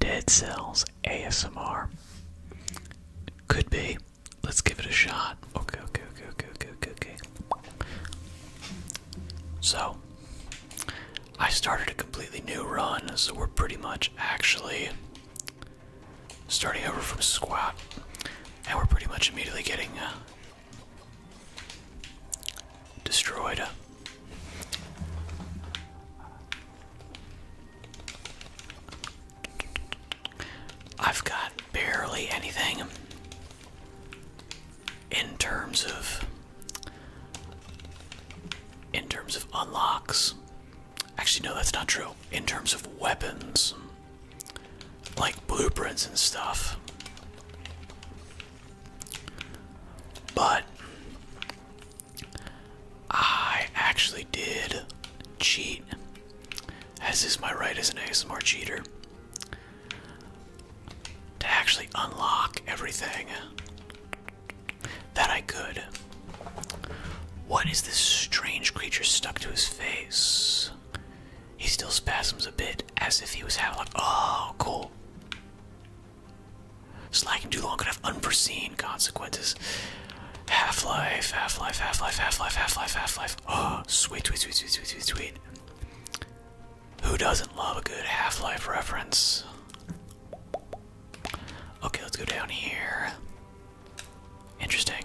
Dead Cells ASMR. Could be. Let's give it a shot. Okay, okay, okay, okay, okay, okay, So, I started a completely new run, so we're pretty much actually starting over from squat, and we're pretty much immediately getting uh, destroyed. I've got barely anything in terms of in terms of unlocks. Actually no, that's not true. In terms of weapons like blueprints and stuff. But I actually did cheat, as is my right as an ASMR cheater. To actually unlock everything that I could. What is this strange creature stuck to his face? He still spasms a bit as if he was having like, oh, cool. Slacking too long could have unforeseen consequences. Half-life, half-life, half-life, half-life, half-life, half-life. Oh, sweet, sweet, sweet, sweet, sweet, sweet. Who doesn't love a good half-life reference? Okay, let's go down here. Interesting.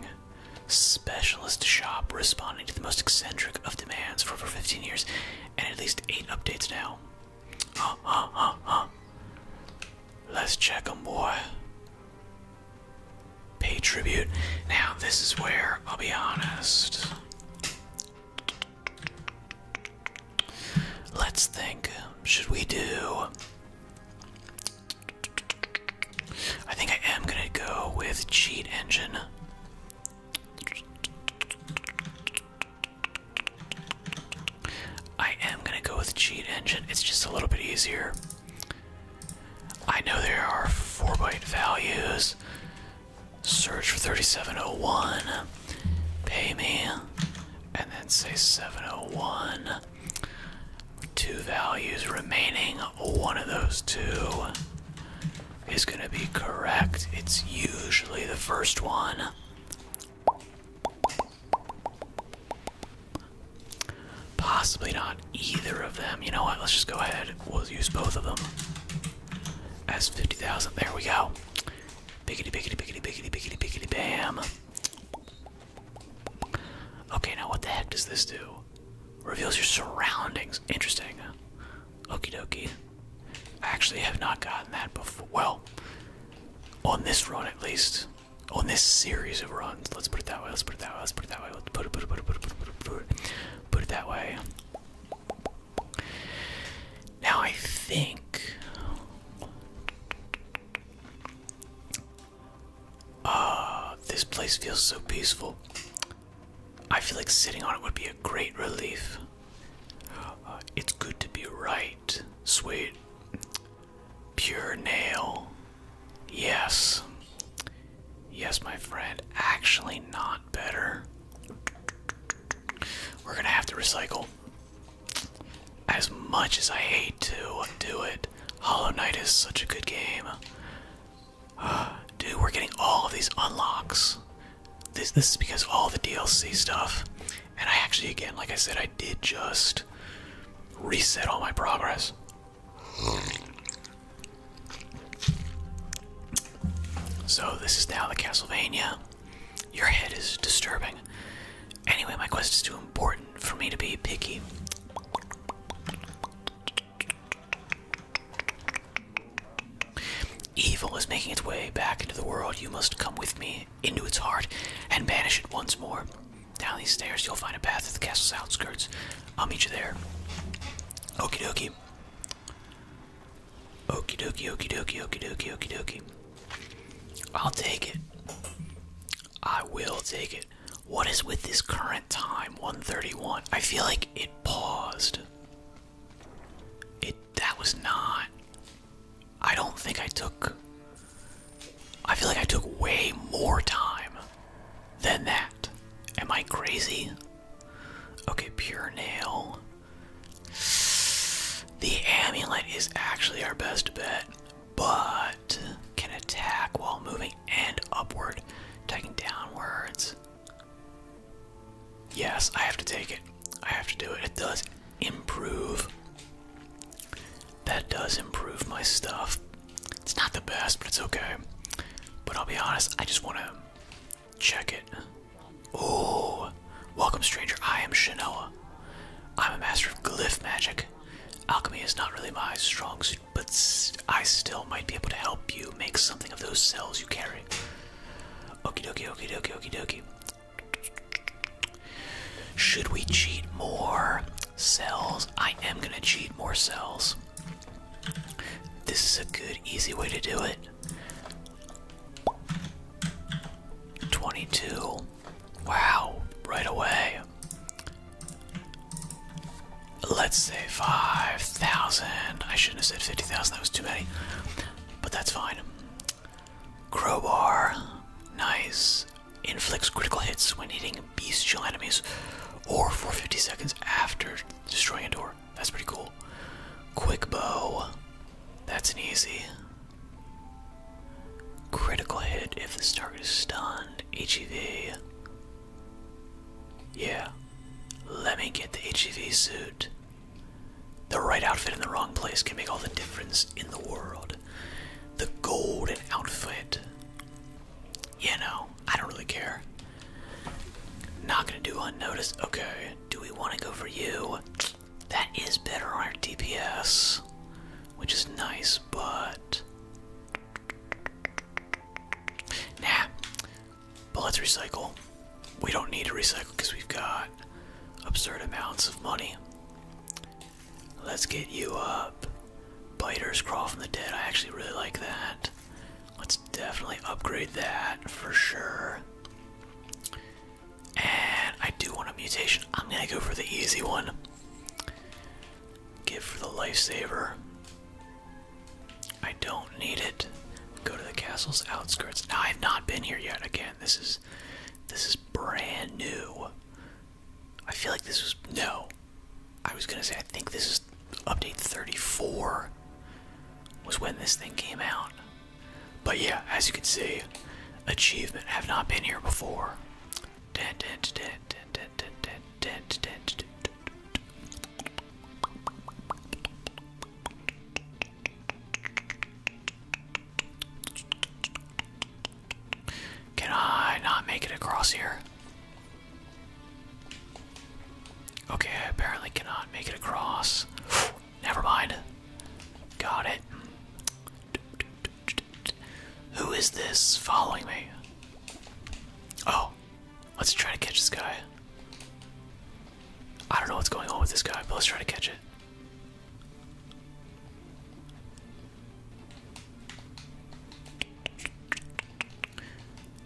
Specialist shop responding to the most eccentric of demands for over 15 years and at least 8 updates now. Let's check them, boy. Pay tribute. Now, this is where I'll be honest. Let's think. Should we do. I think I am gonna go with Cheat Engine. I am gonna go with cheat engine. It's just a little bit easier. I know there are four byte values. Search for 3701. Pay me. And then say 701. Two values remaining. One of those two is gonna be correct. It's usually the first one. Possibly not either of them. You know what? Let's just go ahead. We'll use both of them. As 50,000. There we go. Biggity, biggity, biggity, biggity, biggity, biggity, bam. Okay, now what the heck does this do? Reveals your surroundings. Interesting. Okey dokie. I actually have not gotten that before. Well, on this run at least on this series of runs. Let's put it that way. Let's put it that way. Let's put it that way. Let's put it, put it, put it, put it, put it, put it, put it, put it that way. Now I think. Ah, this place feels so peaceful. I feel like sitting on it would be a great relief. Uh, it's good to be right, sweet. Pure nail. Yes. Yes, my friend. Actually, not better. We're gonna have to recycle. As much as I hate to do it, Hollow Knight is such a good game. dude, we're getting all of these unlocks. This this is because all the DLC stuff. And I actually, again, like I said, I did just reset all my progress. So, this is now the Castlevania. Your head is disturbing. Anyway, my quest is too important for me to be picky. Evil is making its way back into the world. You must come with me into its heart and banish it once more. Down these stairs, you'll find a path to the castle's outskirts. I'll meet you there. Okie dokie. Okie dokie, okie dokie, okie dokie, okie dokie. I'll take it. I will take it. What is with this current time, 131? I feel like it paused. It that was not I don't think I took. I feel like I took way more time than that. Am I crazy? Okay, pure nail. The amulet is actually our best bet, but can attack while moving and upward, taking downwards. Yes, I have to take it. I have to do it. It does improve that does improve my stuff. It's not the best, but it's okay. But I'll be honest, I just want to check it. Oh, welcome, stranger. I am Shinoa. I'm a master of glyph magic. Alchemy is not really my strong suit, but I still might be able to help you make something of those cells you carry. Okie dokie, okie dokie, okie dokie. Should we cheat more cells? I am gonna cheat more cells. This is a good, easy way to do it. 22. Wow, right away. Let's say 5,000. I shouldn't have said 50,000, that was too many. But that's fine. Crowbar. Nice inflicts critical hits when hitting bestial enemies or for 50 seconds after destroying a door. That's pretty cool. Quick bow. That's an easy. Critical hit if this target is stunned. HEV. Yeah. Let me get the HEV suit. The right outfit in the wrong place can make all the difference in the world. The golden outfit. You know, I don't really care. Not gonna do unnoticed. Okay, do we want to go for you? That is better on our DPS, which is nice, but. Nah, but let's recycle. We don't need to recycle because we've got absurd amounts of money. Let's get you up. Blighters crawl from the dead. I actually really like that. Let's definitely upgrade that for sure. And I do want a mutation. I'm gonna go for the easy one. Give for the lifesaver. I don't need it. Go to the castle's outskirts. Now I've not been here yet. Again, this is this is brand new. I feel like this was no. I was gonna say I think this is update 34 was when this thing came out. But yeah, as you can see, achievement have not been here before. Can I not make it across here? Okay, apparently cannot make it across. Never mind. Got it. Who is this following me? Oh, let's try to catch this guy. I don't know what's going on with this guy, but let's try to catch it.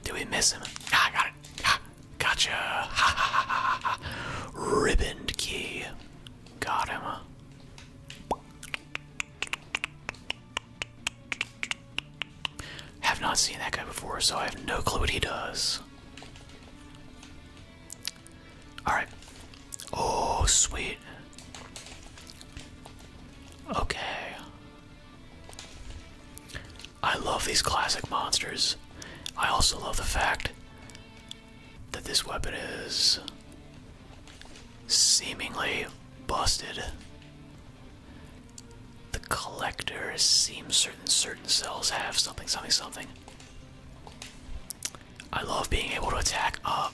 Do we miss him? Ah, I got it. Ah, gotcha. Ha ha ha ha ha. key. Got him. Have not seen that guy before, so I have no clue what he does. Alright, Oh, sweet. Okay. I love these classic monsters. I also love the fact that this weapon is seemingly busted. The collector seems certain certain cells have something something something. I love being able to attack up.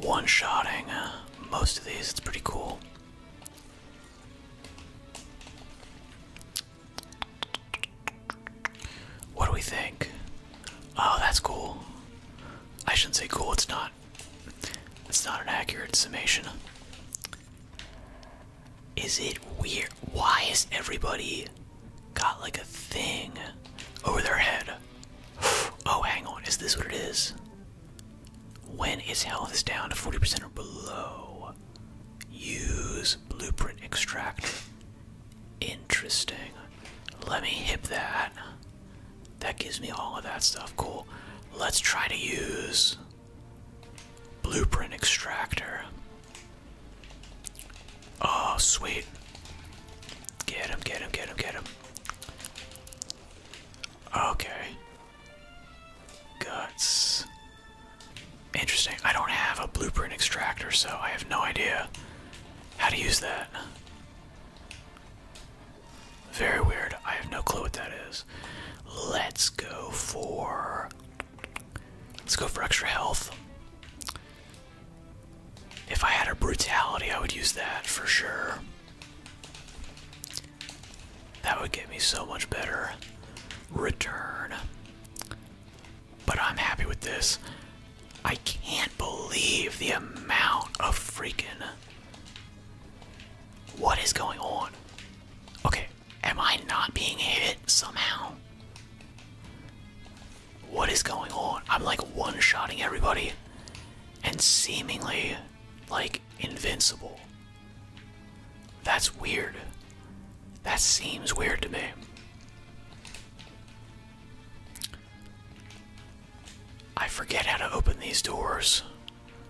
one-shotting uh, most of these. It's pretty cool. What do we think? Oh, that's cool. I shouldn't say cool. It's not. It's not an accurate summation. Is it weird? Why is everybody got like a thing over their head? Oh, hang on. Is this what it is? When its health is down to 40% or below, use blueprint extractor. Interesting. Let me hip that. That gives me all of that stuff. Cool. Let's try to use blueprint extractor. Oh, sweet. Get him, get him, get him, get him. Okay. Guts. Interesting. I don't have a blueprint extractor, so I have no idea how to use that. Very weird. I have no clue what that is. Let's go for. Let's go for extra health. If I had a brutality, I would use that for sure. That would get me so much better return. But I'm happy with this. I can't believe the amount of freaking. What is going on? Okay, am I not being hit somehow? What is going on? I'm like one shotting everybody and seemingly like invincible. That's weird. That seems weird to me. I forget how to open these doors.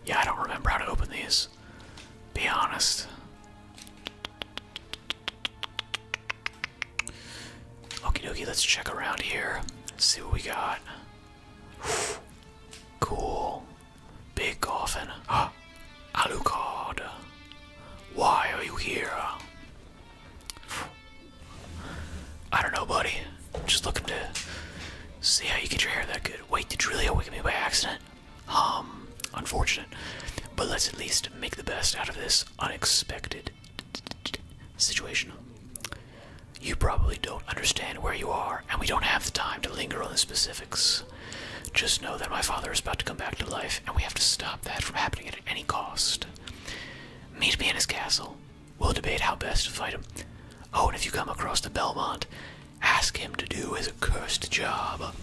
Yeah, I don't remember how to open these. Be honest. Okie dokie, let's check around here. See what we got. cool. Big coffin. Ah, Alucard. Why are you here? I don't know, buddy. just looking to see how you get your hair that good. Wait, did you really awaken me by accident? Um, unfortunate. But let's at least make the best out of this unexpected situation. You probably don't understand where you are, and we don't have the time to linger on the specifics. Just know that my father is about to come back to life, and we have to stop that from happening at any cost. Meet me in his castle. We'll debate how best to fight him. Oh, and if you come across the Belmont, ask him to do his cursed job.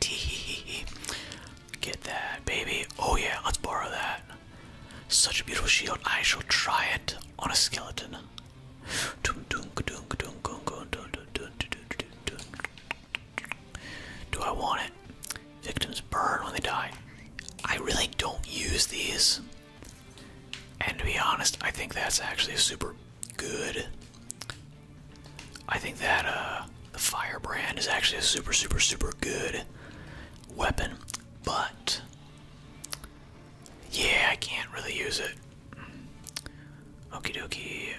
Tee hee. Get that, baby. Oh, yeah, let's borrow that. Such a beautiful shield, I shall try it on a skeleton. Do I want it? Victims burn when they die. I really don't use these. And to be honest, I think that's actually a super good. I think that uh, the Firebrand is actually a super, super, super good weapon, but yeah, I can't really use it. Okie dokie.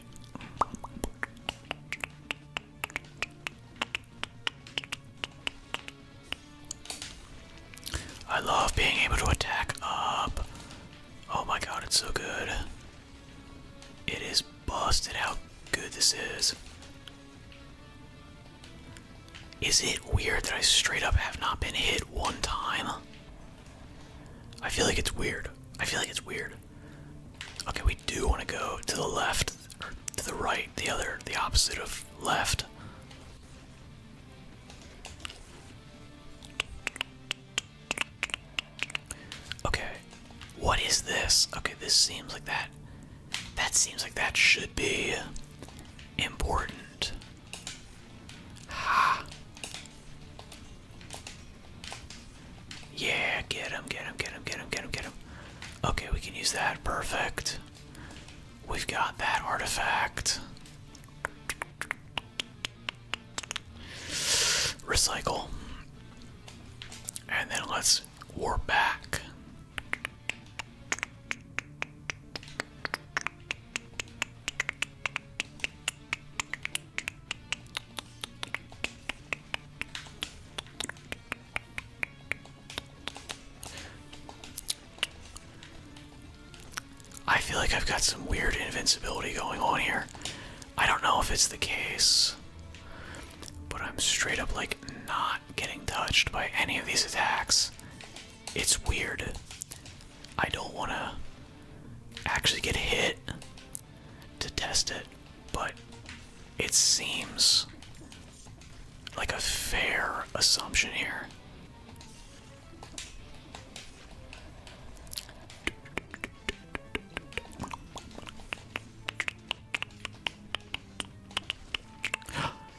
I love being able to attack up. Oh my god, it's so good. It is busted how good this is. Is it weird that I straight up have not been hit one time? I feel like it's weird. I feel like it's weird. Okay, we do want to go to the left or to the right, the other, the opposite of left. Okay, what is this? Okay, this seems like that that seems like that should be important. Ha. Yeah, get him, get him, get him, get him, get him, get him. Okay, we can use that. Perfect. We've got that artifact. Recycle. And then let's warp back. I feel like I've got some weird invincibility going on here. I don't know if it's the case, but I'm straight up like not getting touched by any of these attacks it's weird. I don't want to actually get hit to test it, but it seems like a fair assumption here.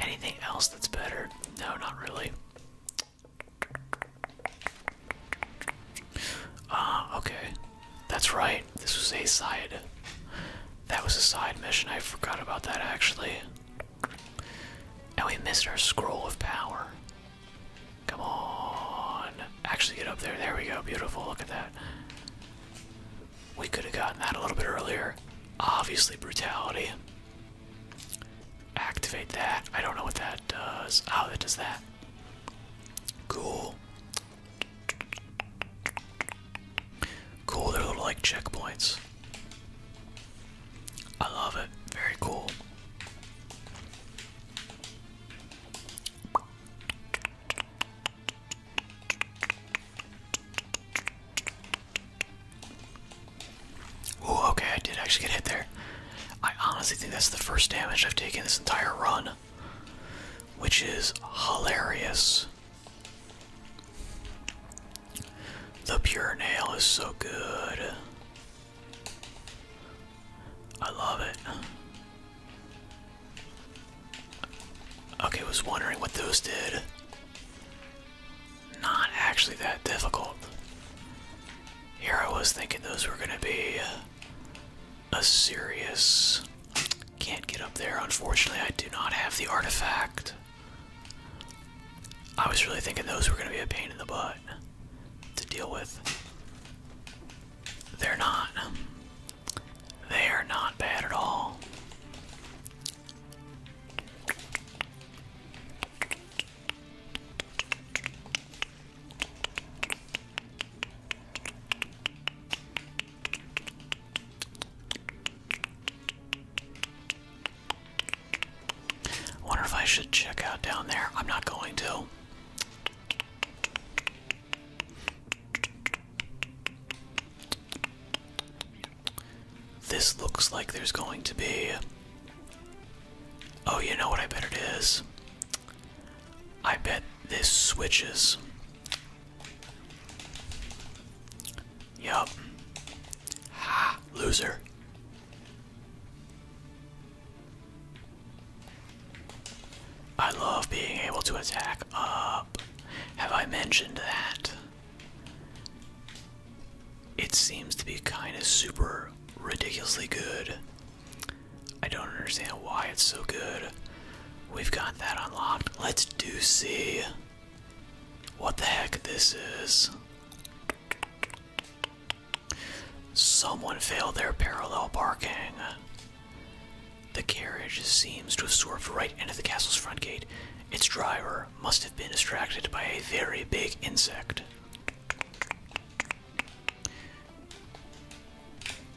Anything else that's better? No, not really. Uh, okay. That's right. This was a side. That was a side mission. I forgot about that actually. And we missed our scroll of power. Come on. Actually, get up there. There we go. Beautiful. Look at that. We could have gotten that a little bit earlier. Obviously, brutality. Activate that. I don't know what that does. Oh, that does that. Cool. Cool, they're little like checkpoints. I love it. Very cool. Ooh, okay, I did actually get hit there. I honestly think that's the first damage I've taken this entire run, which is hilarious. The pure nail is so good. I love it. Okay, was wondering what those did not actually that difficult. Here I was thinking those were gonna be a serious. Can't get up there, unfortunately, I do not have the artifact. I was really thinking those were gonna be a pain in the butt to deal with. They're not. They are not bad at all. I wonder if I should check out down there. I'm not going to. This looks like there's going to be. Oh, you know what I bet it is? I bet this switches. Yup. Loser. I love being able to attack up. Have I mentioned that? It seems to be kind of super ridiculously good. I don't understand why it's so good. We've got that unlocked. Let's do see what the heck this is. Someone failed their parallel parking. The carriage seems to have swerved right into the castle's front gate. Its driver, must have been distracted by a very big insect.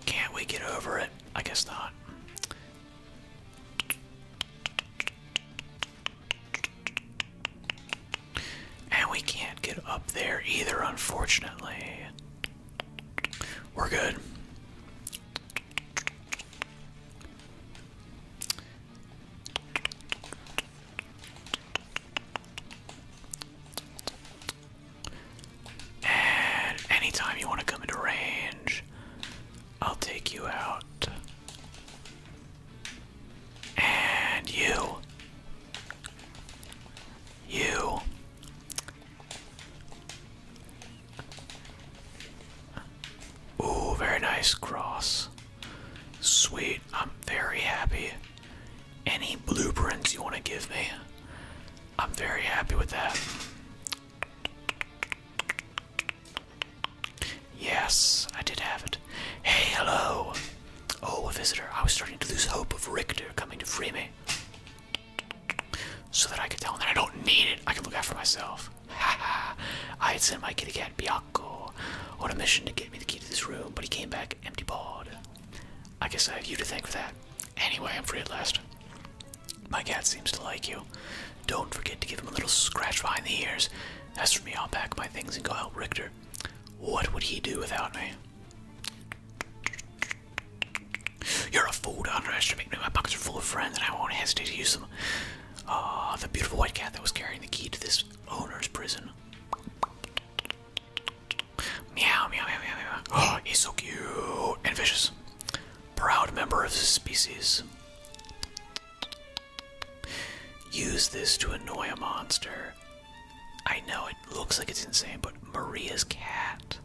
Can't we get over it? I guess not. And we can't get up there either, unfortunately. We're good. And anytime you want to come into range, I'll take you out. And you. You. Ooh, very nice cross. Sweet, I'm very happy. Any blueprints you want to give me, I'm very happy with that. Yes, I did have it. Hey, hello! Oh, a visitor. I was starting to lose hope of Richter coming to free me. So that I could tell him that I don't need it. I can look after for myself. Haha. I had sent my kid again. beyond. Rocco on oh, a mission to get me the key to this room, but he came back empty balled. I guess I have you to thank for that. Anyway, I'm free at last. My cat seems to like you. Don't forget to give him a little scratch behind the ears. As for me, I'll pack my things and go help Richter. What would he do without me? You're a fool to underestimate me. My pockets are full of friends, and I won't hesitate to use them. Ah, the beautiful white cat that was carrying the key to this Owner's prison. Meow, meow, meow, meow, meow. Oh, he's so cute and vicious. Proud member of his species. Use this to annoy a monster. I know it looks like it's insane, but Maria's cat.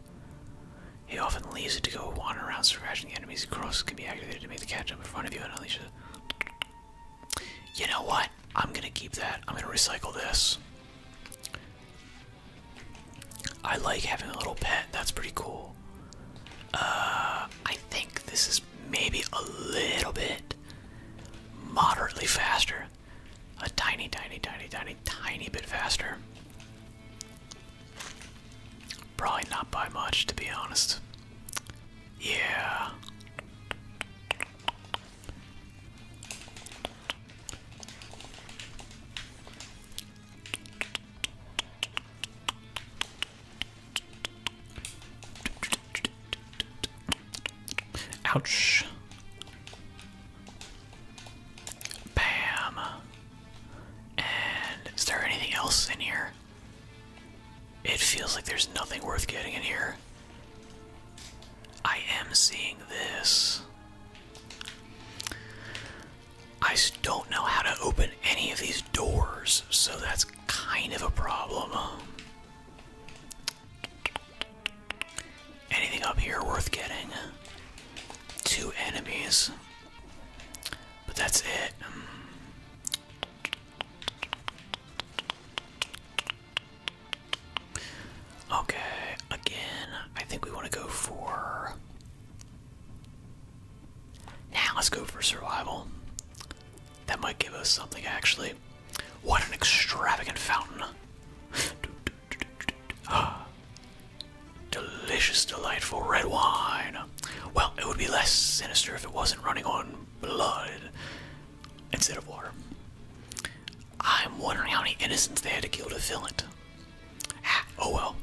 He often leaves it to go wander around scratching the enemies. Crosses can be activated to make the cat jump in front of you and Alicia. You know what? I'm gonna keep that. I'm gonna recycle this. I like having a little pet. That's pretty cool. Uh, I think this is maybe a little bit moderately faster. A tiny, tiny, tiny, tiny, tiny bit faster. Probably not by much, to be honest. Yeah. Ouch. Bam. And is there anything else in here? It feels like there's nothing worth getting in here. I am seeing this. I don't know how to open any of these doors, so that's kind of a problem. Anything up here worth getting? Two enemies. But that's it. Okay, again, I think we want to go for. Now let's go for survival. That might give us something actually. What an extravagant fountain! Delicious, delightful red wine. Well, it would be less sinister if it wasn't running on blood instead of water. I'm wondering how many innocents they had to kill to fill it. Ah, oh well.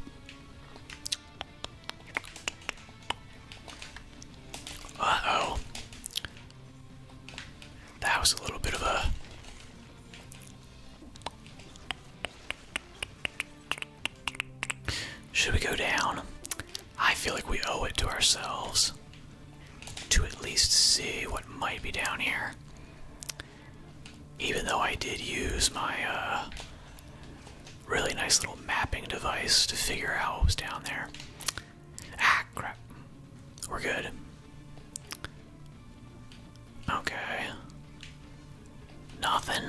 Uh oh. That was a little bit of a. Should we go down? I feel like we owe it to ourselves to at least see what might be down here. Even though I did use my uh, really nice little mapping device to figure out what was down there. Ah, crap. We're good. Okay. Nothing.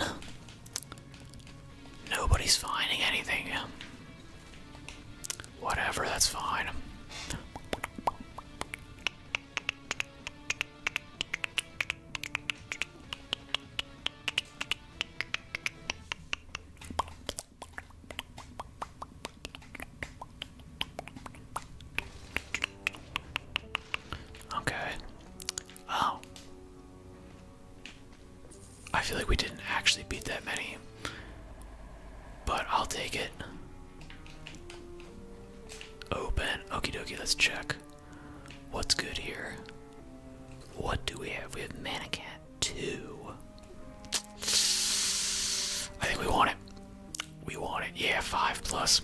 Nobody's finding anything. Whatever, that's fine. Okay. Oh. I feel like we didn't actually beat that many, but I'll take it. Open. okey dokie, let's check. What's good here? What do we have? We have Mannequin 2. I think we want it. We want it. Yeah, 5 plus.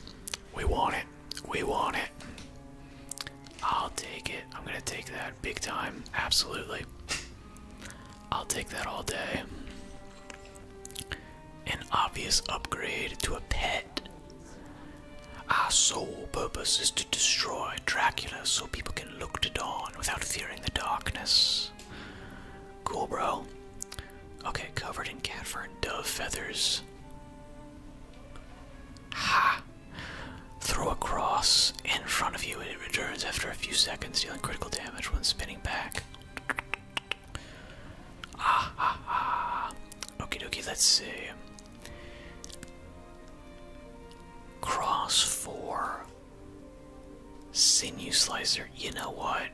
We want it. We want it. I'll take it. I'm going to take that big time. Absolutely. I'll take that all day. An obvious upgrade to a pet. Our sole purpose is to destroy Dracula so people can look to dawn without fearing the darkness. Cool, bro. Okay, covered in cat and dove feathers. Ha! Throw a cross in front of you it returns after a few seconds, dealing critical damage when spinning back. Ah, ah, ah. Okie dokie, let's see. Cross 4. Sinew Slicer. You know what?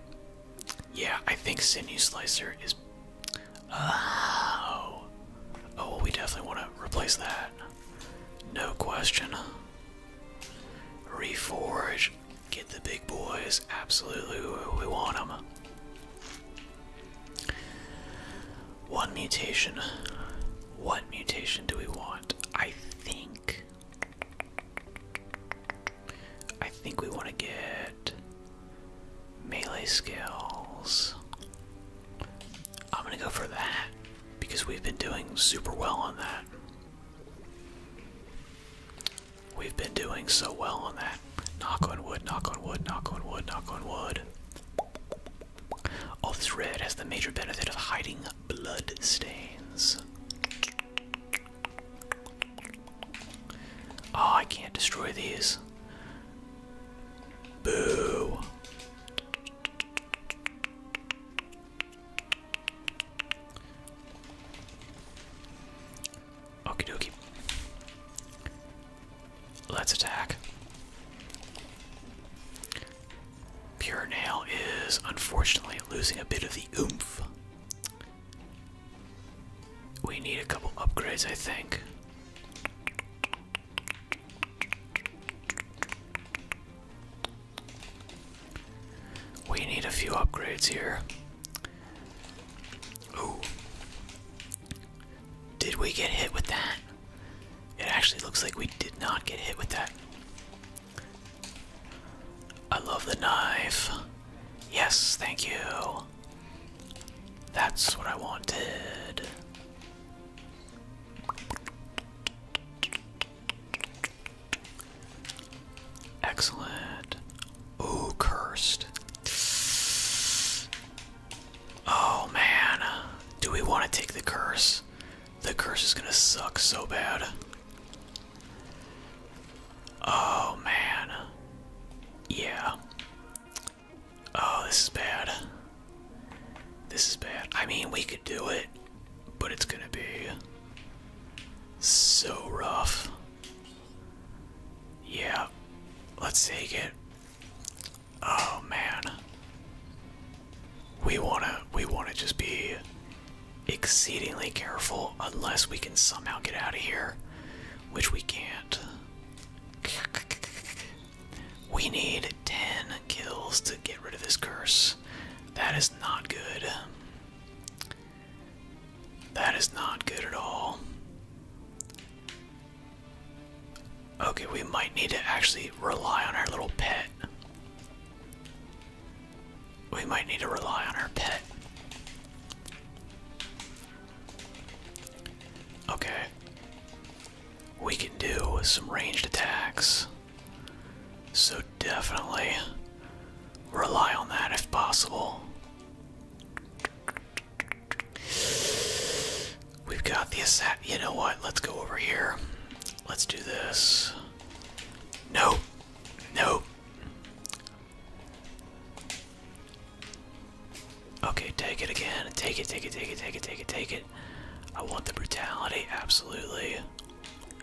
Yeah, I think Sinew Slicer is. Oh. Oh, we definitely want to replace that. No question. Reforge. Get the big boys. Absolutely, we want them. One mutation. What mutation do we want? I think. I think we want to get melee skills. I'm gonna go for that because we've been doing super well on that. We've been doing so well on that. Knock on wood, knock on wood, knock on wood, knock on wood. All this has the major benefit of hiding blood stains. Oh, I can't destroy these. Boo. Okie dokie. Let's attack. Pure Nail is unfortunately losing a bit of the oomph. We need a couple upgrades, I think. We need a few upgrades here. Ooh. Did we get hit with that? It actually looks like we did not get hit with that. I love the knife. Yes, thank you. That's what I wanted. Excellent. Ooh, cursed. Oh man. Do we want to take the curse? The curse is gonna suck so bad. Oh man. Yeah. Oh, this is bad. This is bad. I mean, we could do it but it's gonna be so rough. Yeah, let's take it. Oh man. We wanna we wanna just be exceedingly careful unless we can somehow get out of here, which we can't. We need 10 kills to get rid of this curse. That is not good. That is not good at all. Okay, we might need to actually rely on our little pet. We might need to rely on our pet. Okay. We can do some ranged attacks. So definitely rely on that if possible. We've got the assassin. You know what? Let's go over here. Let's do this. Nope. Nope. Okay, take it again. Take it, take it, take it, take it, take it, take it. I want the brutality, absolutely.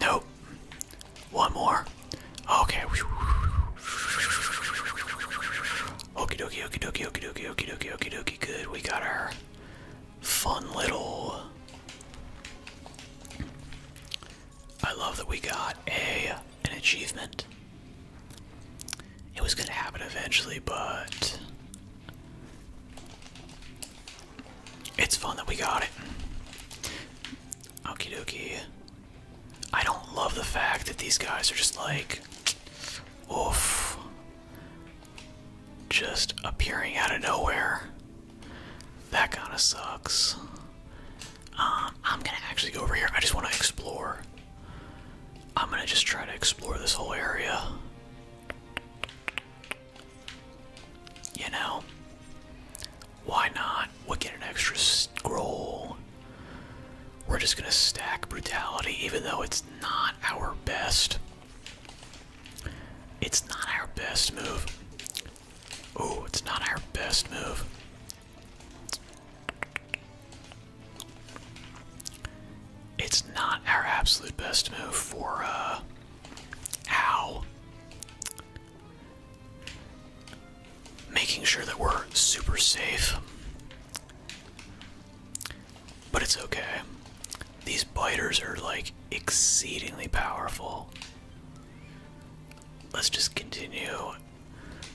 Nope. One more. Okay. Okie dokie, okie dokie, okie dokie, okie dokie, okie dokie. Good. We got our fun little. I love that we got a an achievement. It was gonna happen eventually, but it's fun that we got it. Okie dokie. I don't love the fact that these guys are just like, oof, just appearing out of nowhere. That kind of sucks. Um, I'm gonna actually go over here. I just want to explore. I'm gonna just try to explore this whole area. You know, why not? We'll get an extra scroll. We're just gonna stack brutality, even though it's not our best. It's not our best move. Oh, it's not our best move. It's not our absolute best move for, uh, making sure that we're super safe. But it's okay. These biters are like exceedingly powerful. Let's just continue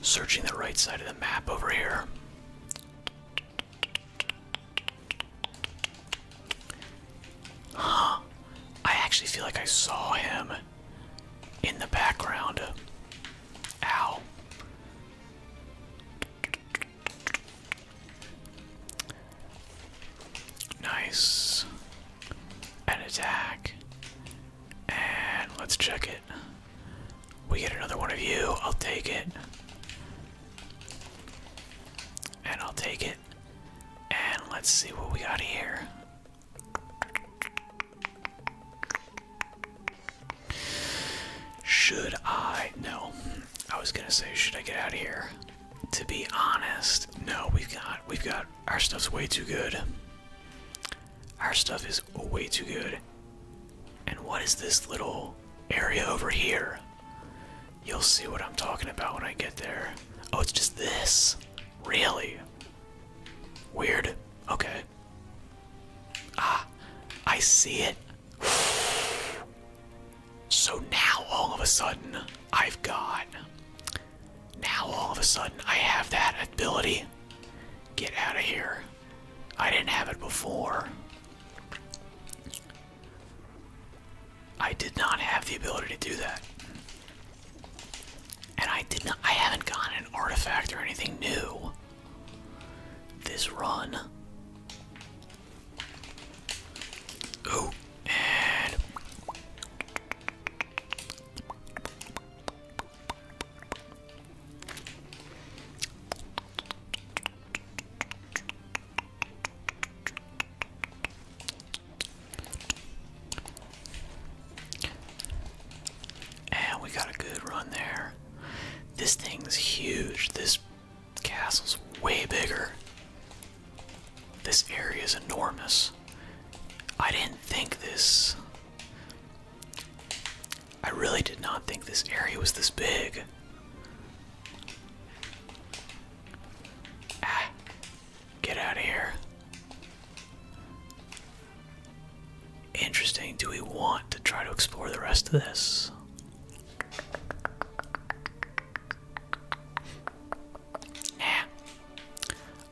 searching the right side of the map over here. Huh. I actually feel like I saw him in the background. Ow. Nice. An attack. And let's check it. We get another one of you. I'll take it. And I'll take it. And let's see what we got here. Should I? No. I was gonna say, should I get out of here? To be honest, no. We've got, we've got, our stuff's way too good. Our stuff is way too good. And what is this little area over here? You'll see what I'm talking about when I get there. Oh, it's just this. Really? Weird. Okay. Ah, I see it. So now all of a sudden, I've got. Now all of a sudden, I have that ability. Get out of here. I didn't have it before. I did not have the ability to do that. And I did not I haven't gotten an artifact or anything new this run. Oh, and and we got a good run there. This thing's huge. This castle's way bigger. This area is enormous. I didn't think this. I really did not think this area was this big. Ah. Get out of here. Interesting. Do we want to try to explore the rest of this? Nah.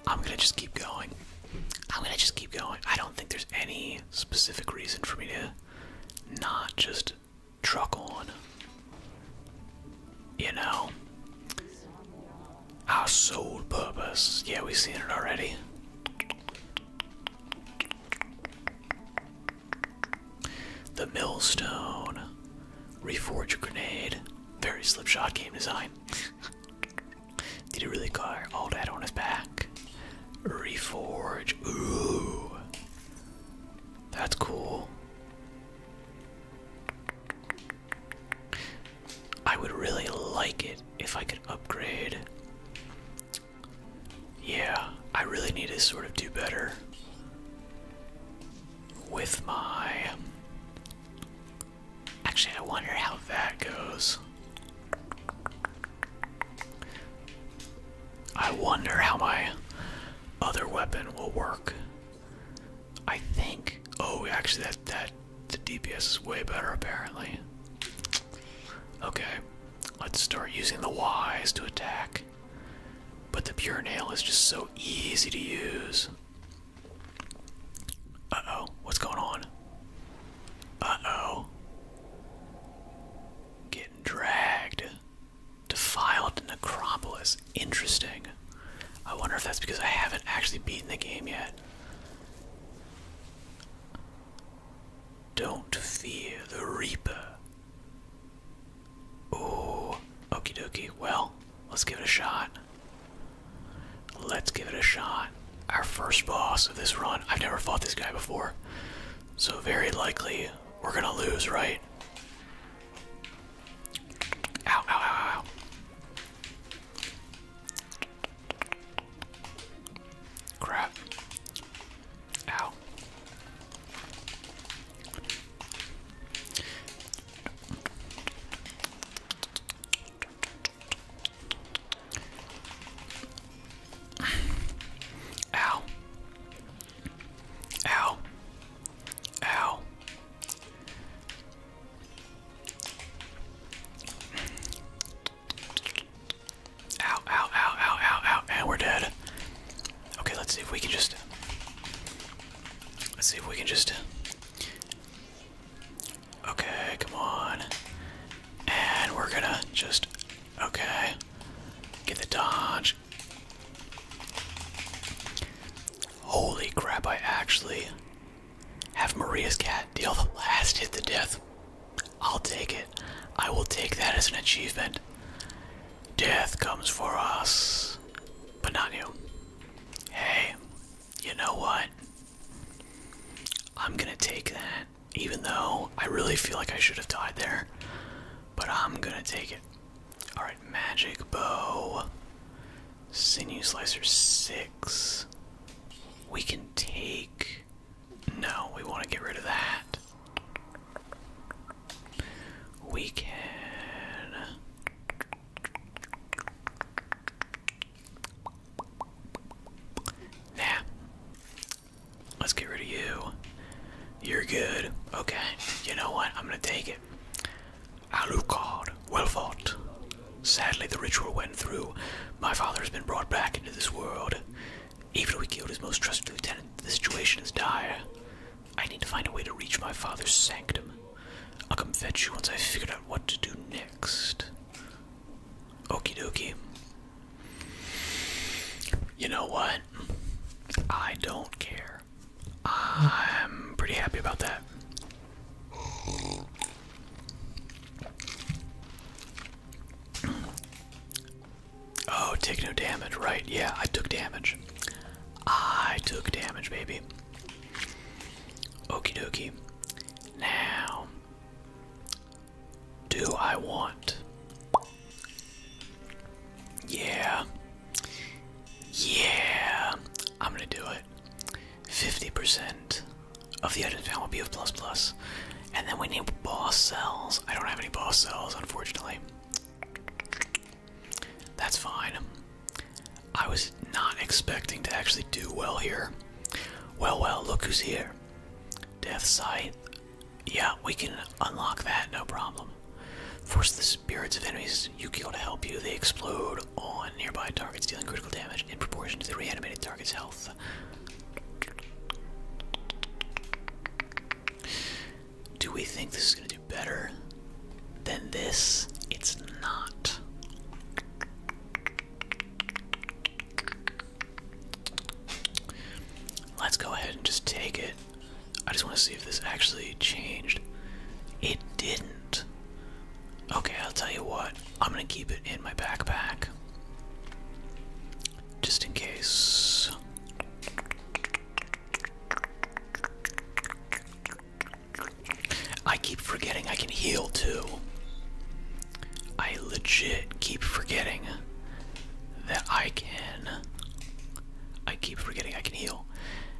I'm gonna just keep going. I'm gonna just keep going. I don't think there's any specific reason for me to not just truck on. You know? Our sole purpose. Yeah, we've seen it already. The millstone. Reforge grenade. Very slipshod game design. Did he really car all that on his back? Reforge. Ooh. That's cool. I would really like it if I could upgrade. Yeah, I really need to sort of do better with my. Actually, I wonder how that goes. I wonder how my other weapon will work I think. Oh, actually, that the DPS is way better apparently. Okay, let's start using the Ys to attack. But the pure nail is just so easy to use. Uh oh, what's going on? Uh oh. Getting dragged. Defiled necropolis. Interesting. I wonder if that's because I haven't actually beaten the game yet. Don't fear the Reaper. Oh, okie dokie. Well, let's give it a shot. Let's give it a shot. Our first boss of this run. I've never fought this guy before. So, very likely we're gonna lose, right? Ow, ow, ow, ow. Crap. Ow. Ow. Ow. Ow, ow, ow, ow, ow, ow, and we're dead. Okay, let's see if we can just. Let's see if we can just. Okay, come on. And we're gonna just. Okay. Get the dodge. Holy crap, I actually have Maria's cat deal the last hit to death. I'll take it. I will take that as an achievement. Death comes for us, but not you. Hey, you know what? I'm gonna take that, even though I really feel like I should have died there. But I'm gonna take it. Alright, magic bow. Sinew slicer six. We can take. No, we want to get rid of that. We can. Yeah. Let's get rid of you. You're good. Okay. You know what? I'm going to take it. Alucard, well fought. Sadly, the ritual went through. My father has been brought back into this world. Even though we killed his most trusted lieutenant, the situation is dire. I need to find a way to reach my father's sanctum. I'll come fetch you once i figure out what to do next. Okie dokie. You know what? I don't care. I'm pretty happy about that. Oh, take no damage, right? Yeah, I took damage. I took damage, baby. Okie dokie. Now, do I want. Yeah. Yeah. I'm gonna do it. 50% of the items found will be of And then we need boss cells. I don't have any boss cells, unfortunately. That's fine. I was not expecting to actually do well here. Well, well, look who's here. Death Sight. Yeah, we can unlock that, no problem. Force the spirits of enemies you kill to help you. They explode on nearby targets, dealing critical damage in proportion to the reanimated target's health. Do we think this is going to do better than this? It's not. Let's go ahead and just take it. I just want to see if this actually changed. It didn't okay, I'll tell you what, I'm gonna keep it in my backpack just in case. I keep forgetting I can heal too. I legit keep forgetting that I can. I keep forgetting I can heal.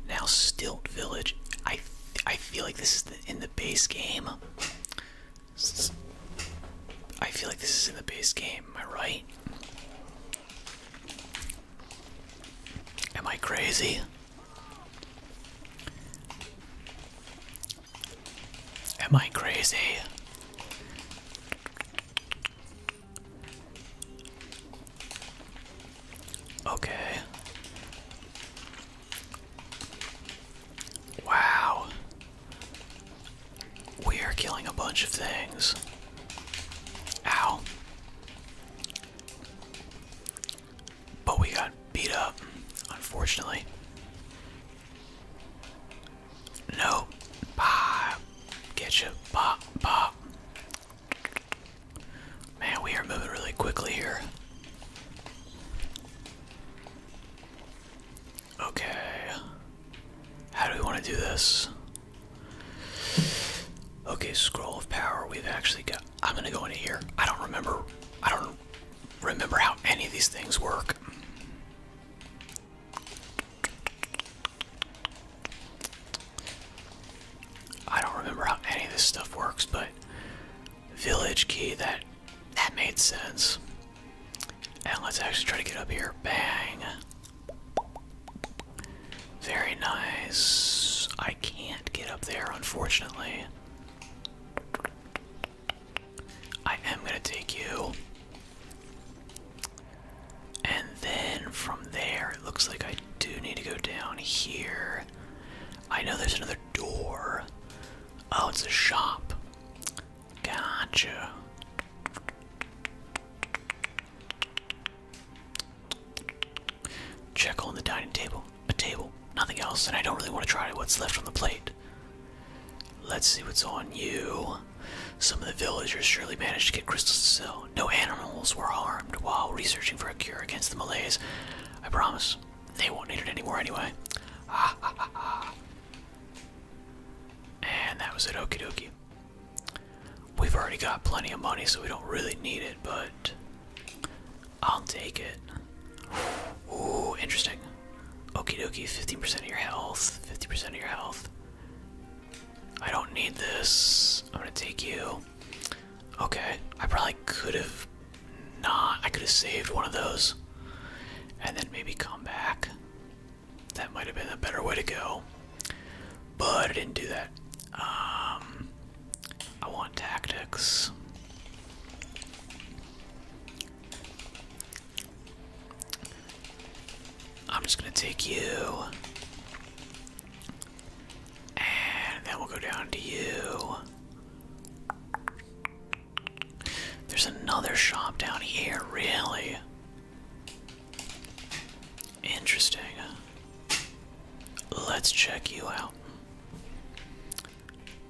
Now, Stilt Village. I I feel like this is in the base game. I feel like this is in the base game, am I right? Am I crazy? Am I crazy? Okay. Wow. We are killing a bunch of things. Ow. But we got beat up, unfortunately. No. Bah. Get you. Bah. Man, we are moving really quickly here. Okay. How do we want to do this? Okay, scroll of power. We've actually got. I'm gonna go into here. I don't remember. I don't remember how any of these things work. I don't remember how any of this stuff works, but village key that that made sense. And let's actually try to get up here. Bang. Very nice. I can't get up there, unfortunately. I am going to take you. And then from there, it looks like I do need to go down here. I know there's another door, Oh, it's a shop. Gotcha. Check on the dining table. A table. Nothing else, and I don't really want to try what's left on the plate. Let's see what's on you. Some of the villagers surely managed to get crystals to sell. No animals were harmed while researching for a cure against the malaise. I promise. They won't need it anymore anyway. And that was it, okie dokie. We've already got plenty of money, so we don't really need it, but I'll take it. Ooh, interesting. Okie dokie, 15% of your health, 50% of your health. I don't need this. I'm gonna take you. Okay, I probably could have Nah, I could have saved one of those. And then maybe come back. That might have been a better way to go. But I didn't do that. Um, I want tactics. I'm just gonna take you. And then we'll go down to you. There's another shop down here, really. Interesting. Let's check you out.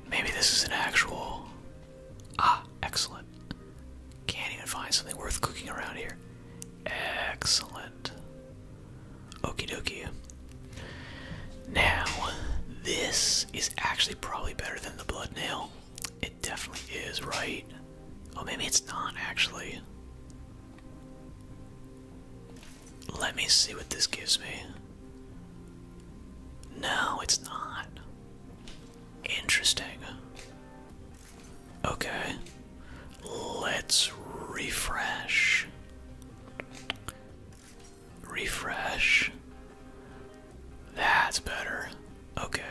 Maybe this is an actual. Ah, excellent. Can't even find something worth cooking around here. Excellent. Okie dokie. Now, this is actually probably better than the blood nail. It definitely is, right? Oh, maybe it's not actually. Let me see what this gives me. No, it's not. Interesting. Okay. Let's refresh. Refresh. That's better. Okay.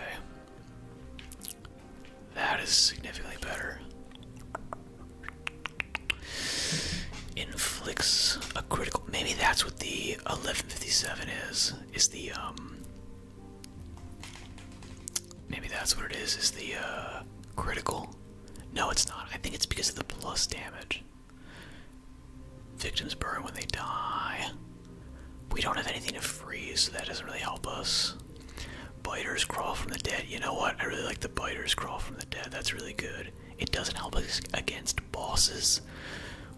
That is significantly better. Inflicts a critical. Maybe that's what the 1157 is. Is the, um. Maybe that's what it is. Is the, uh. Critical? No, it's not. I think it's because of the plus damage. Victims burn when they die. We don't have anything to freeze, so that doesn't really help us. Biters crawl from the dead. You know what? I really like the biters crawl from the dead. That's really good. It doesn't help us against bosses,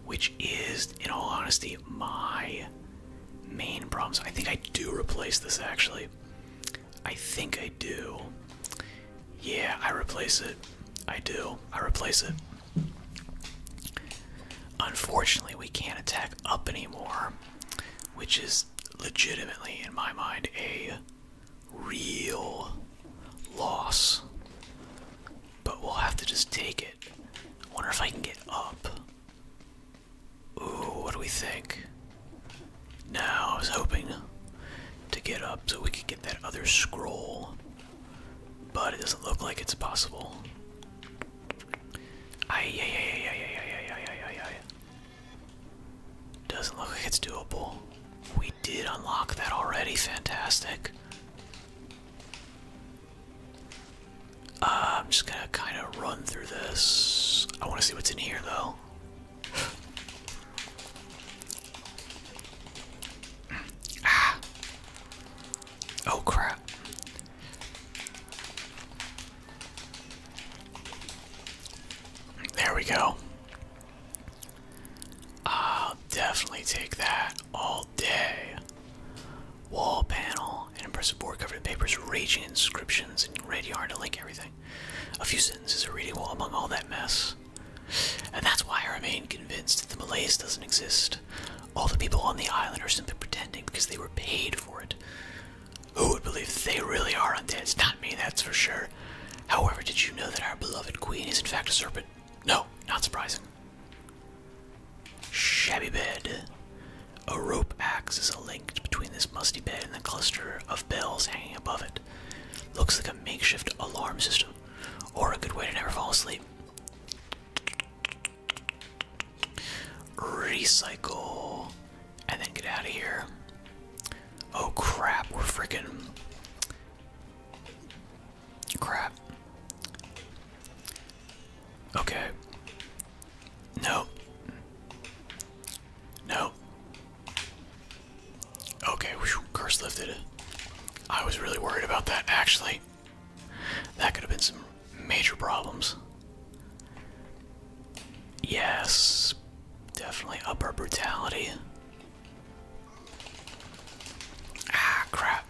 which is, in all honesty, my main problem. So I think I do replace this actually. I think I do. Yeah, I replace it. I do. I replace it. Unfortunately, we can't attack up anymore, which is legitimately, in my mind, a real loss. But we'll have to just take it. Wonder if I can get up. Ooh, what do we think? Now I was hoping to get up so we could get that other scroll but it doesn't look like it's possible. Doesn't look like it's doable. We did unlock that already. Fantastic. Uh, I'm just gonna kind of run through this. I want to see what's in here, though. Ah. Oh crap. There we go. I'll definitely take that all day. Wall panel, an impressive board covered in papers, raging inscriptions, and red yarn to link everything. A few sentences are readable among all that mess. And that's why I remain convinced that the Malays doesn't exist. All the people on the island are simply pretending because they were paid for it. Who would believe that they really are undead? It's not me, that's for sure. However, did you know that our beloved queen is in fact a serpent? No, not surprising. Shabby bed. A rope acts as a link between this musty bed and the cluster of bells hanging above it. Looks like a makeshift alarm system, or a good way to never fall asleep. Recycle. And then get out of here. Oh crap, we're freaking. Crap. Okay. No. No. Okay, curse lifted. I was really worried about that, actually. That could have been some major problems. Yes, definitely upper brutality. Ah, crap.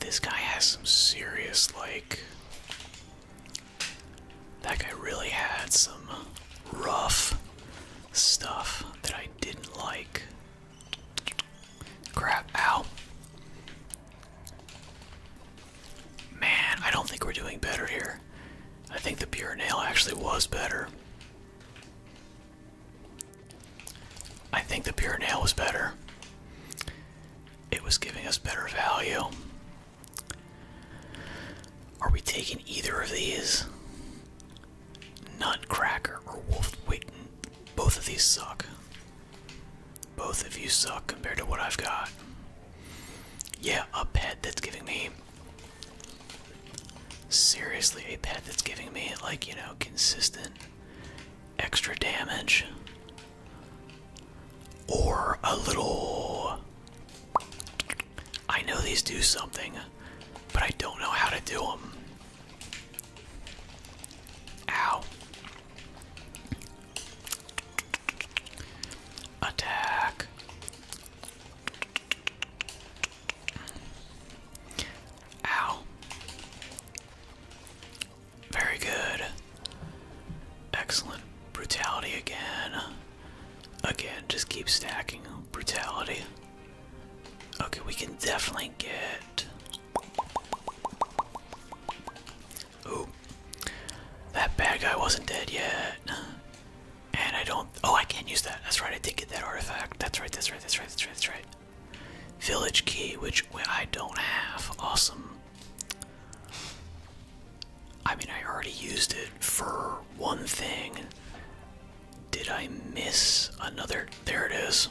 This guy has some serious, like. That guy really had some rough stuff that I didn't like. Crap, ow. Man, I don't think we're doing better here. I think the pure nail actually was better. I think the pure nail was better. It was giving us better value. Are we taking either of these? Nutcracker or Wolf Witten. Both of these suck. Both of you suck compared to what I've got. Yeah, a pet that's giving me. Seriously, a pet that's giving me, like, you know, consistent extra damage. Or a little. I know these do something, but I don't know how to do them. Ow. Attack. Ow. Very good. Excellent. Brutality again. Again, just keep stacking. Brutality. Okay, we can definitely get Ooh. That bad guy wasn't dead yet. And I don't. Oh, I can't use that. That's right, I did get that artifact. That's right, that's right, that's right, that's right, that's right. Village key, which I don't have. Awesome. I mean, I already used it for one thing. Did I miss another? There it is.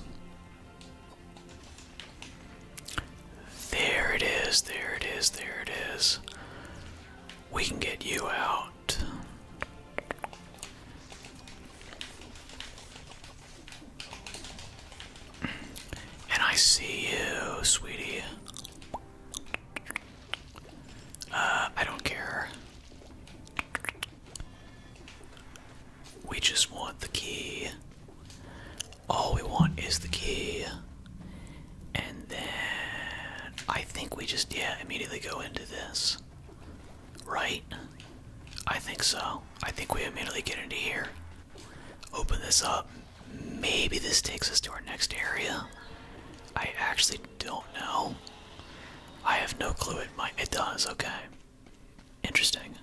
There it is, there it is, there it is. We can get you out. And I see you, sweetie. Uh, I don't care. We just want the key. All we want is the key. And then I think we just, yeah, immediately go into this. Right? I think so. I think we immediately get into here. Open this up. Maybe this takes us to our next area. I actually don't know. I have no clue. It might. It does. Okay. Interesting.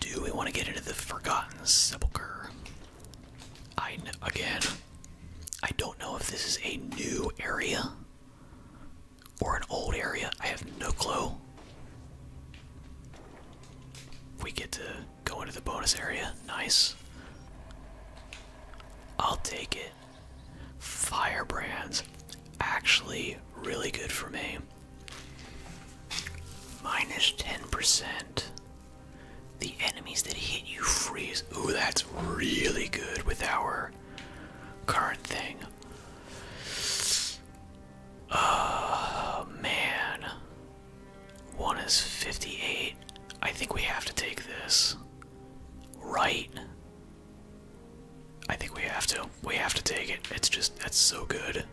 Do we want to get into the Forgotten Sepulchre? I again, I don't know if this is a new area or an old area. I have no clue. We get to go into the bonus area. Nice. I'll take it. Firebrands actually really good for me. Minus 10%. The enemies that hit you freeze. Oh, that's really good with our current thing. Oh, man. One is 58. I think we have to take this. Right? I think we have to. We have to take it. It's just that's so good.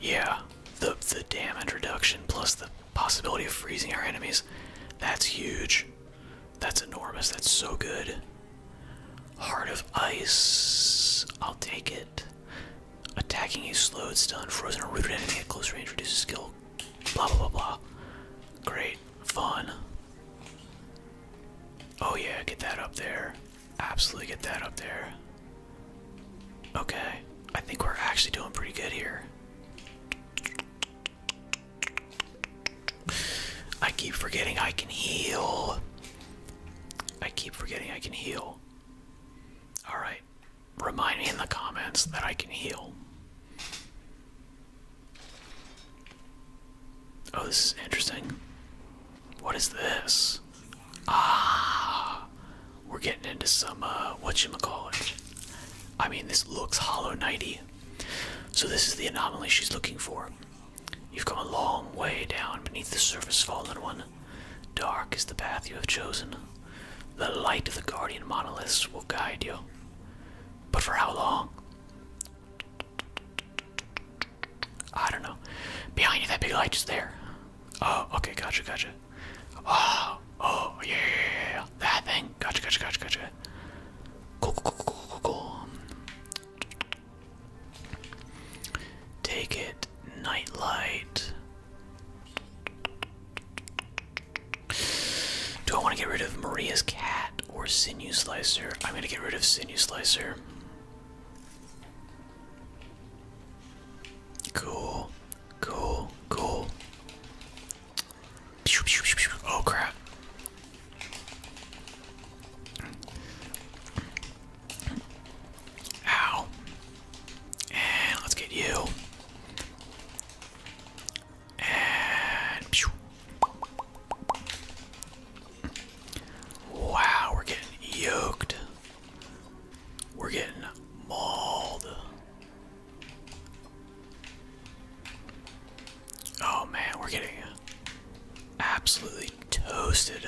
Yeah, the the damage reduction plus the possibility of freezing our enemies. That's huge. That's enormous. That's so good. Heart of ice. I'll take it. Attacking a slowed, stun, frozen, or rooted enemy at close range reduces skill. Blah blah blah blah. Great. Fun. Oh, yeah, get that up there. Absolutely get that up there. Okay, I think we're actually doing pretty good here. I keep forgetting I can heal. I keep forgetting I can heal. Alright, remind me in the comments that I can heal. Oh, this is interesting. What is this? Ah, we're getting into some uh, what you call it. I mean, this looks Hollow Knighty. So this is the anomaly she's looking for. You've come a long way down beneath the surface, fallen one. Dark is the path you have chosen. The light of the guardian monoliths will guide you. But for how long? I don't know. Behind you, that big light is there. Oh, okay, gotcha, gotcha. Oh, oh, yeah, yeah, yeah. that thing. Gotcha, gotcha, gotcha, gotcha. Cool, cool, cool, cool, cool, cool. Take it, nightlight. Do I want to get rid of Maria's cat or Sinew Slicer? I'm gonna get rid of Sinew Slicer. Cool, cool, cool. Oh crap. Ow. And let's get you. And Wow, we're getting yoked. We're getting mauled. Oh man, we're getting absolutely toasted.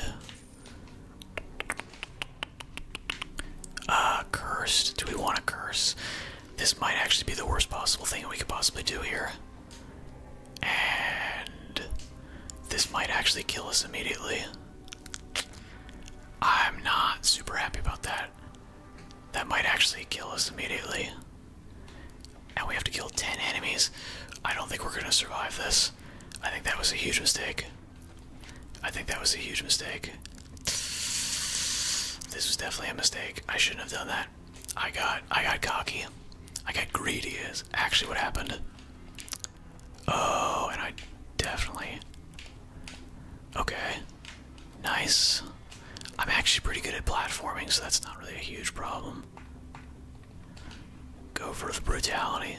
Uh, cursed. Do we want to curse? This might actually be the worst possible thing we could possibly do here. And this might actually kill us immediately. I'm not super happy about that. That might actually kill us immediately. And we have to kill 10 enemies. I don't think we're gonna survive this. I think that was a huge mistake. I think that was a huge mistake. This was definitely a mistake. I shouldn't have done that. I got I got cocky. I got greedy as actually what happened. Oh, and I definitely. Okay. Nice. I'm actually pretty good at platforming, so that's not really a huge problem. Go for the brutality.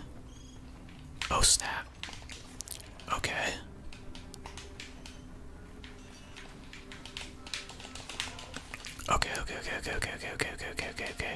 Oh, snap. okay, okay, okay, okay, okay, okay, okay, okay, okay, okay.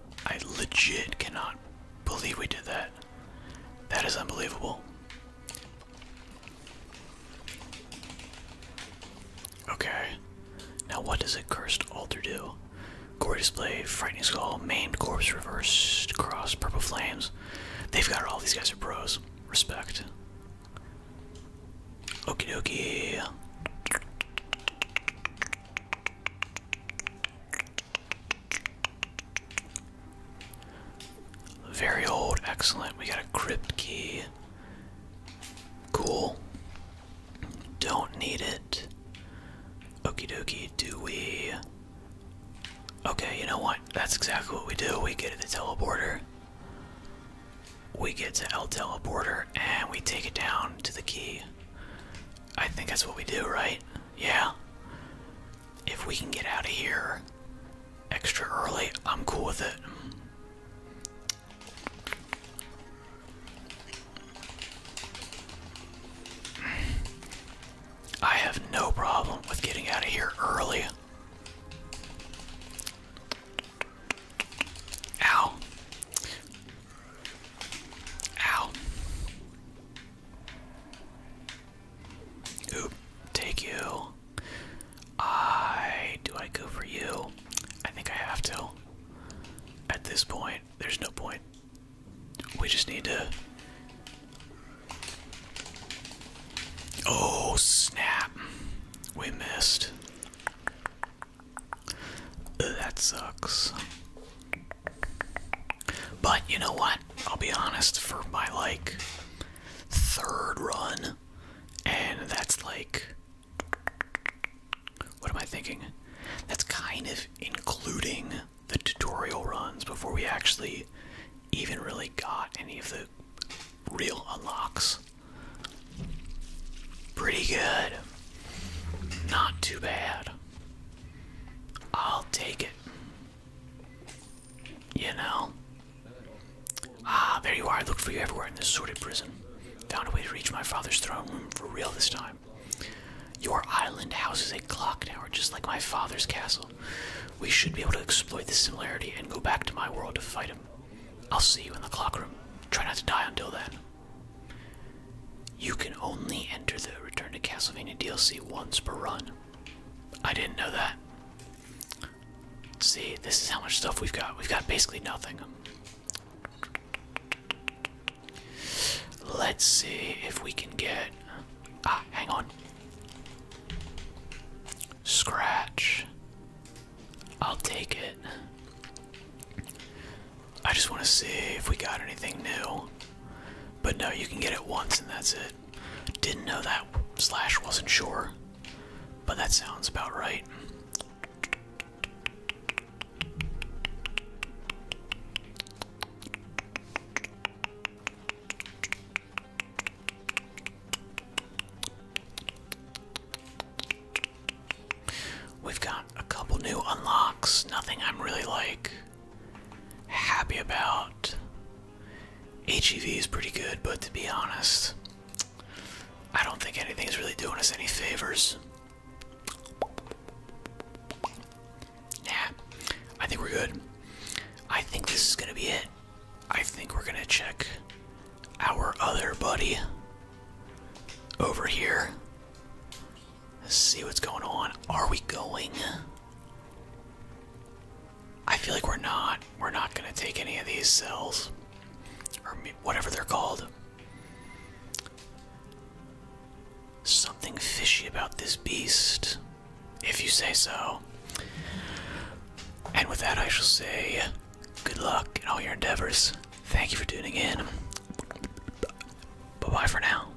I legit cannot believe we did that. That is unbelievable. Okay. Now what does a cursed altar do? Gore display, frightening skull, maimed corpse, reverse cross, purple flames. They've got all. These guys are pros. Respect. Okey dokey. Very old, excellent. We got a crypt key. Cool. Don't need it. Okie dokie, do we? Okay, you know what? That's exactly what we do. We get to the teleporter. We get to El Teleporter and we take it down to the key. I think that's what we do, right? yeah. If we can get out of here extra early, I'm cool with it. I have no problem with getting out of here early. Ow. Ow. Oop, take you. I do I go for you? I think I have to. At this point, there's no point. We just need to. Oh snap! We missed. that sucks. But you know what? I'll be honest, for my like third run, and that's like what am I thinking? That's kind of including the tutorial runs before we actually even really got any of the real unlocks. Pretty good. Not too bad. I'll take it. You know? Ah, there you are. I looked for you everywhere in this sordid prison. Found a way to reach my father's throne room for real this time. Your island houses a clock tower just like my father's castle. We should be able to exploit this similarity and go back to my world to fight him. I'll see you in the clock room. Try not to die until then. You can only enter the Return to Castlevania DLC once per run. I didn't know that. See, this is how much stuff we've got. We've got basically nothing. Let's see if we can get. Ah, hang on. Scratch. I'll take it. I just want to see if we got anything new. But no, you can get it once and that's it. Didn't know that, slash wasn't sure. But that sounds about right. We've got a couple new unlocks, nothing I'm really like happy about. HEV is pretty good, but to be honest, I don't think anything's really doing us any favors. Nah, I think we're good. I think this is gonna be it. I think we're gonna check our other buddy over here. Let's see what's going on. Are we going? I feel like we're not. We're not gonna take any of these cells. Or whatever they're called. Something fishy about this beast. If you say so. And with that, I shall say good luck in all your endeavors. Thank you for tuning in. Bye bye for now.